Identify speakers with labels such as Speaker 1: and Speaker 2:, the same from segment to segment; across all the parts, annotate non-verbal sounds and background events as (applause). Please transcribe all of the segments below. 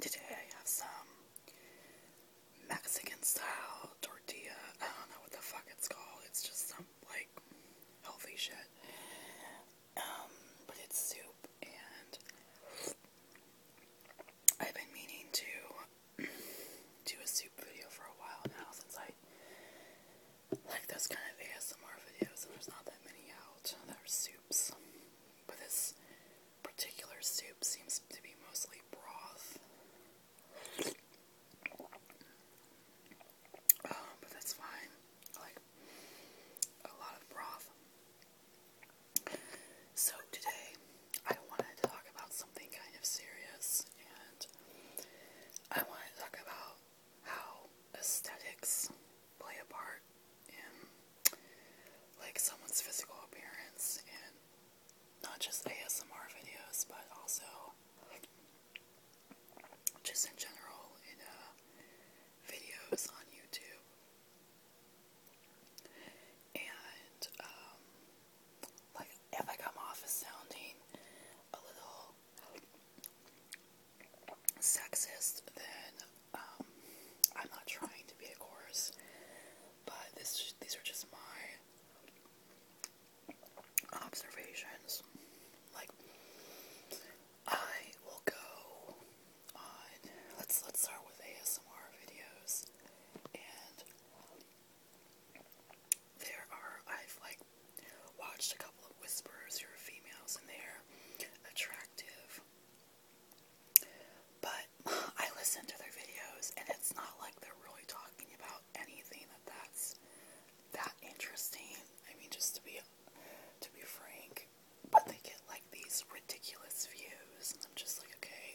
Speaker 1: Today I have some Mexican style tortilla. I don't know what the fuck it's called. It's just some like healthy shit. Um, but it's soup and I've been meaning to (clears throat) do a soup video for a while now since I like those kind of ASMR videos, and there's not that many out. There are soups, but this particular soup seems to be mostly broth. Um, but that's fine. Like a lot of broth. So today, I wanted to talk about something kind of serious, and I wanted to talk about how aesthetics play a part in like someone's physical appearance and not just ASMR videos but also just in general in uh, videos on YouTube. And um, like if I come off as sounding a little sexist, then um, I'm not trying to be, a chorus, But this, these are just my observations. Like, I will go on. Let's let's start with ASMR videos, and there are I've like Watched a couple of whisperers who are females and they're attractive. But (laughs) I listen to their videos and it's not like they're really talking about anything that that's that interesting. I mean just to be to be frank. But they get like these ridiculous views and I'm just like okay.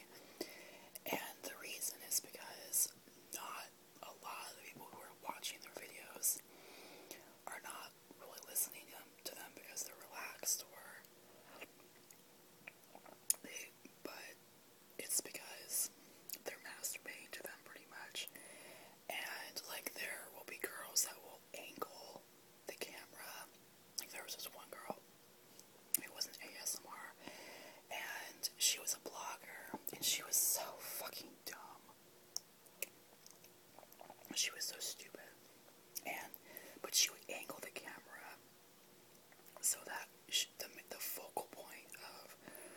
Speaker 1: And the reason is because not a lot of the people who are watching their videos are not really listening um, to them because they're relaxed or they, but it's because they're masturbating to them pretty much. And like there will be girls that will angle the camera. Like there was this one girl, it wasn't an ASMR, and she was a blogger and she was so fucking dumb. She was so stupid. And but she would angle the camera so that she, the the focal point of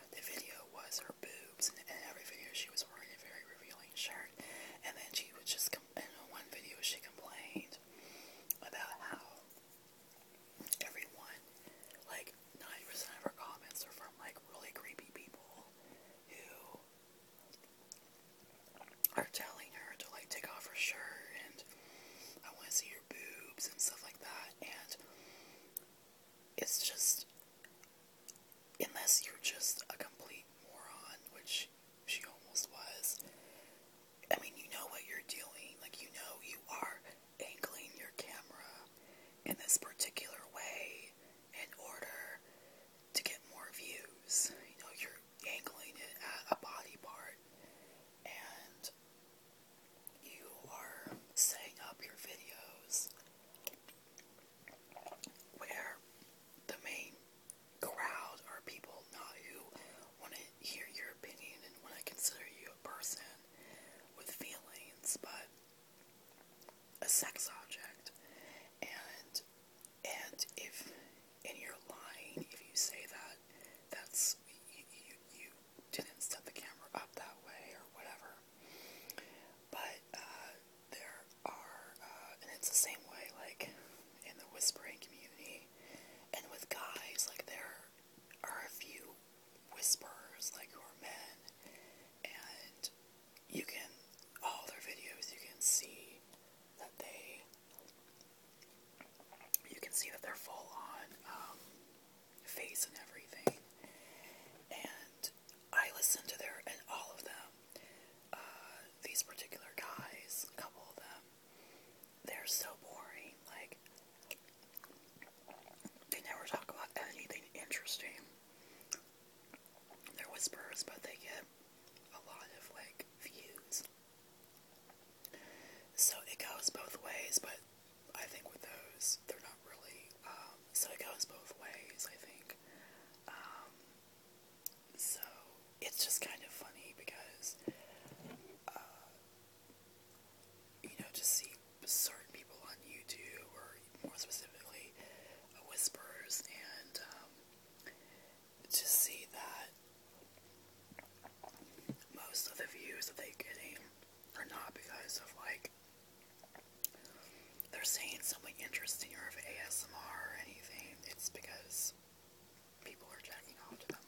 Speaker 1: the video was her boobs, and in every video she was wearing a very revealing shirt. And then she would just come in one video she complained about how everyone, like 90% of her comments are from like really creepy people, who are telling her to like take off her shirt and I want to see your boobs and stuff like that. And it's just, unless you're just a complete moron, which she almost was, I mean, you know what you're doing. Like, you know, you are angling your camera in this particular way in order to get more views. You know, you're angling it at a body part and you are setting up your videos where the main crowd are people not who want to hear your opinion and want to consider you a person with feelings, but a sex object, and and if in your line, if you say that, that's you, you, you didn't set the camera up that way or whatever. But uh, there are, uh, and it's the same way, like in the whispering community, and with guys, like there are a few whisperers like who are men and you can all their videos you can see that they you can see that they're full on um, face and everything and I listen to their and all of them uh, these particular guys a couple of them they're so boring like they never talk about anything interesting they're whispers, but they get a lot of like views. So it goes both ways, but I think with those, they're not really. Um, so it goes both ways, I think. Um, so it's just kind of funny because uh, you know, just see certain people on YouTube, or more specifically, uh, Whispers, and um, to see that most of the views that they're getting are not because of like they're saying something interesting or of ASMR or anything, it's because people are jacking off to them.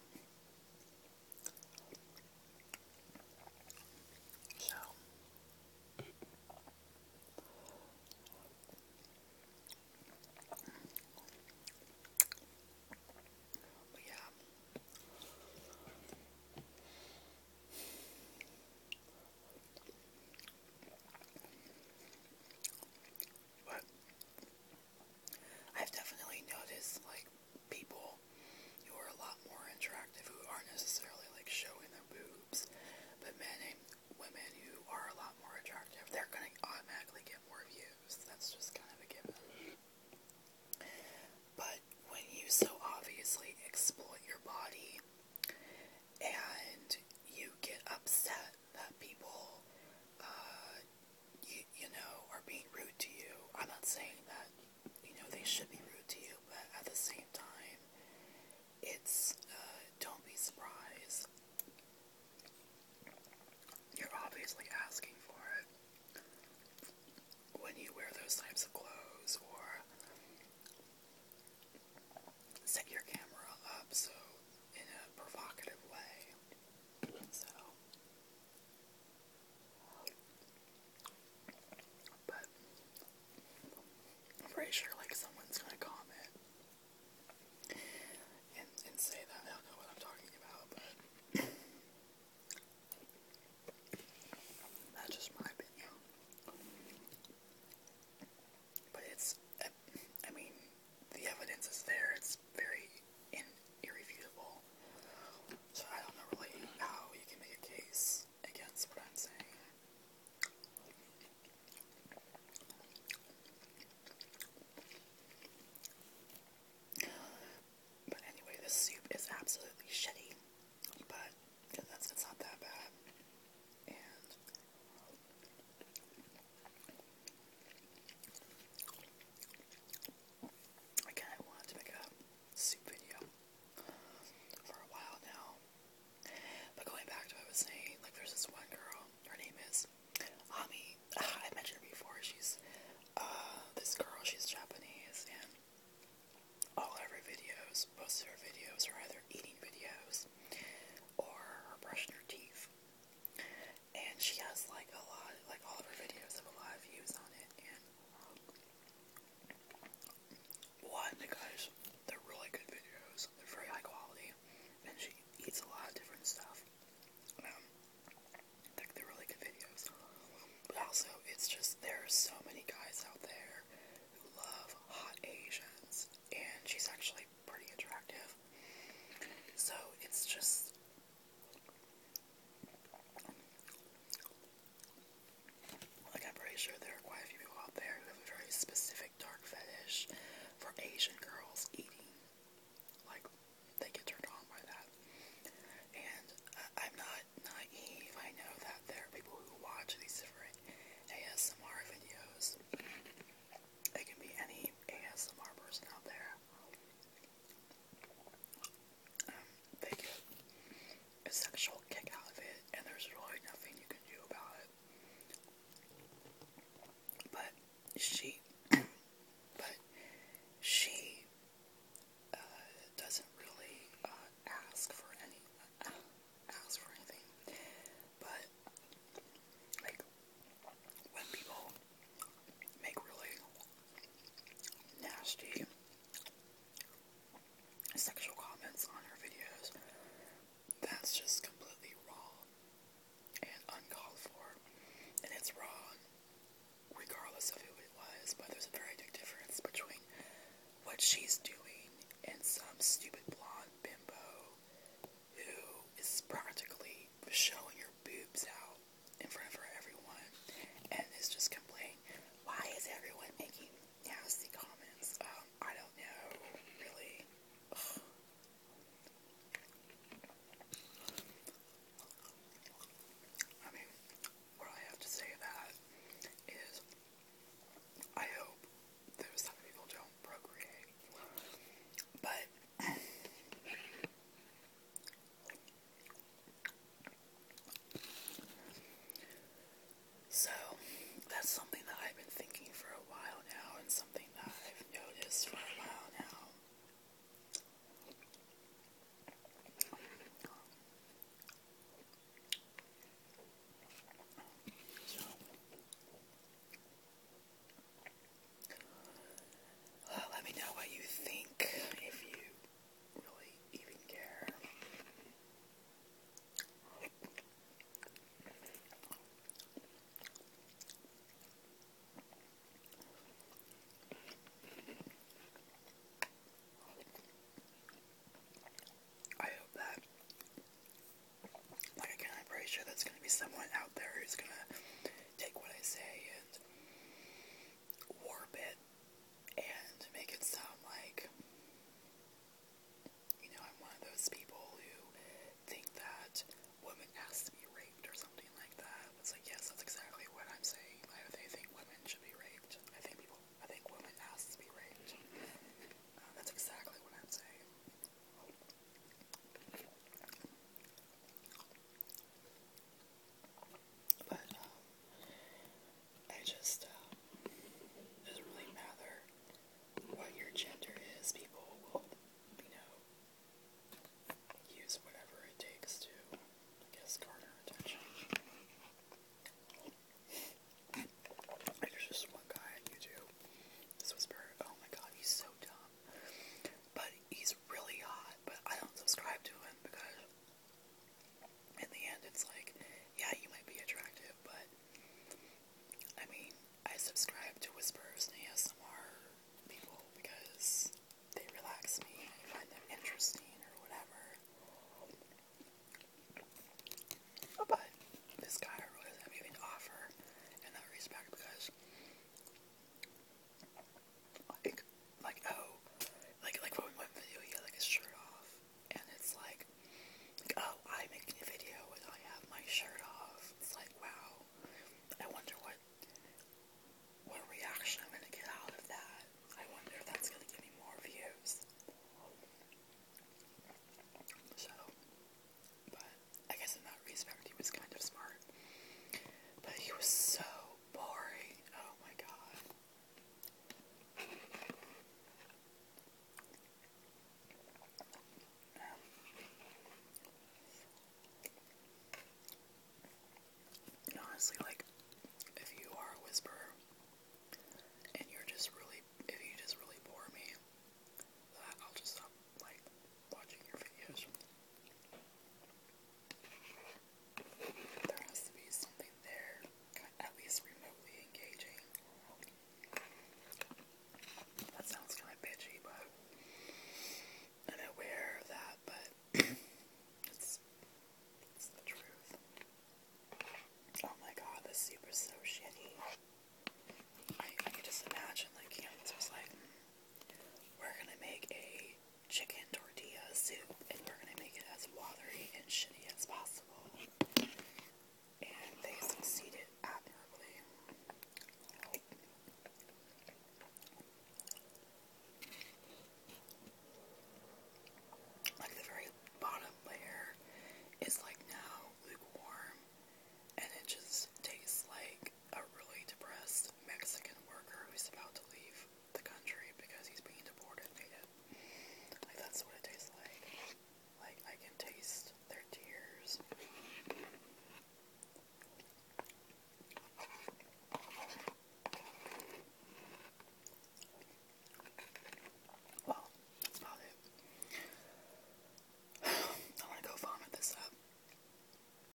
Speaker 1: So but yeah. But I've definitely noticed like people people who are a lot more attractive, who aren't necessarily like showing their boobs, but men women who are a lot more attractive, they're going to automatically get more views. That's just kind of a given. But when you so obviously exploit your body and you get upset that people, uh, you know, are being rude to you, I'm not saying that you know, they should be rude to you, but at the same time, it's uh, don't be surprised. You're obviously asking for it when you wear those types of clothes or set your camera up so in a provocative way. So but I'm pretty sure like someone's gonna comment and, and say that I do know what I'm talking about, but that's just my opinion. But it's, I mean, the evidence is there. It's very irrefutable. So I don't know really how you can make a case against what I'm saying. But anyway, this soup is absolutely shitty, but that's not that bad. And again, I wanted to make a soup video for a while now. But going back to what I was saying, like there's this one girl, her name is Ami. Ah, I mentioned her before, she's uh, this girl, she's Japanese and all of her videos, most of her videos are either eating videos or brushing her teeth. And she has like a lot like all of her videos have a lot of views on it and one, because they're really good videos, they're very high quality, and she eats a lot of different stuff. Um, they're, they're really good videos. But also, it's just there are so many guys out there who love hot Asians, and she's actually pretty attractive. So it's just. Like, I'm pretty sure there are quite a few people out there who have a very specific dark fetish for Asian girls eating. Like, they get turned on by that. And I'm not naive. I know that there are people who watch these different ASMR videos. It can be any ASMR person out there um, they get a sexual kick out of it, and there's really nothing you can do about it. But she, (clears throat) but she uh, doesn't really uh, ask for any uh, ask for anything. But like when people make really nasty sexual comments on her videos. That's just completely wrong and uncalled for. And it's wrong regardless of who it was, but there's a very big difference between what she's doing and some stupid blonde bimbo who is practically showing her boobs out in front everyone, and is just complaining, why is everyone making nasty comments? Um, I don't know, really. I mean, what have to say about I hope those type people don't procreate, but so, that's something that I've been thinking for a while now, and something that I've noticed for a while now. let me know what you think if you really even care. I hope that, like again, I'm pretty sure there's going to be someone out there who's going to take what I say and warp it and make it sound like, you know, I'm one of those people who think that women has to be raped or something like that. It's like, yes, that's exactly what I'm saying. I think women should be raped. I think people, I think women has to be raped. Uh, that's exactly what I'm saying. But um, I just um, it doesn't really matter what your gender is. People will, you know, use whatever it takes to, I guess, garner attention. There's just one guy on YouTube. This was very, oh my god, he's so dumb. But he's really hot, but I don't subscribe to him because in the end it's like, yeah, you might be attractive, but I mean, I subscribe to whispers and ASMR people because they relax me, I find them interesting or whatever. But this guy really doesn't have offer in that respect because like, like oh, like like when one video he like his shirt off, and it's like, oh, I'm making a video with I have my shirt off. It's like wow, I wonder what what reaction I'm gonna get out of that. I wonder if that's gonna give me more views. So, but I guess in that respect, he was kind of smart. But he was so boring. Oh my god. honestly, like, if you are a whisperer and you're just really, if you just really bore me, I'll just stop, like, watching your videos there has to be something there, at least remotely engaging. That sounds kind of bitchy, but i of that, but (clears throat) it's, the truth. Oh my god, this soup so shitty. I, can just imagine, like, we're gonna make a chicken tortilla soup, and we're gonna make it as watery and shitty as possible. And they succeeded admirably. Like the very bottom layer is like now lukewarm, and it just tastes like a really depressed Mexican worker who's about to leave the country because he's being deported Like that's what it tastes like. Like I can taste their tears. Well, (sighs) I'm gonna go vomit this up.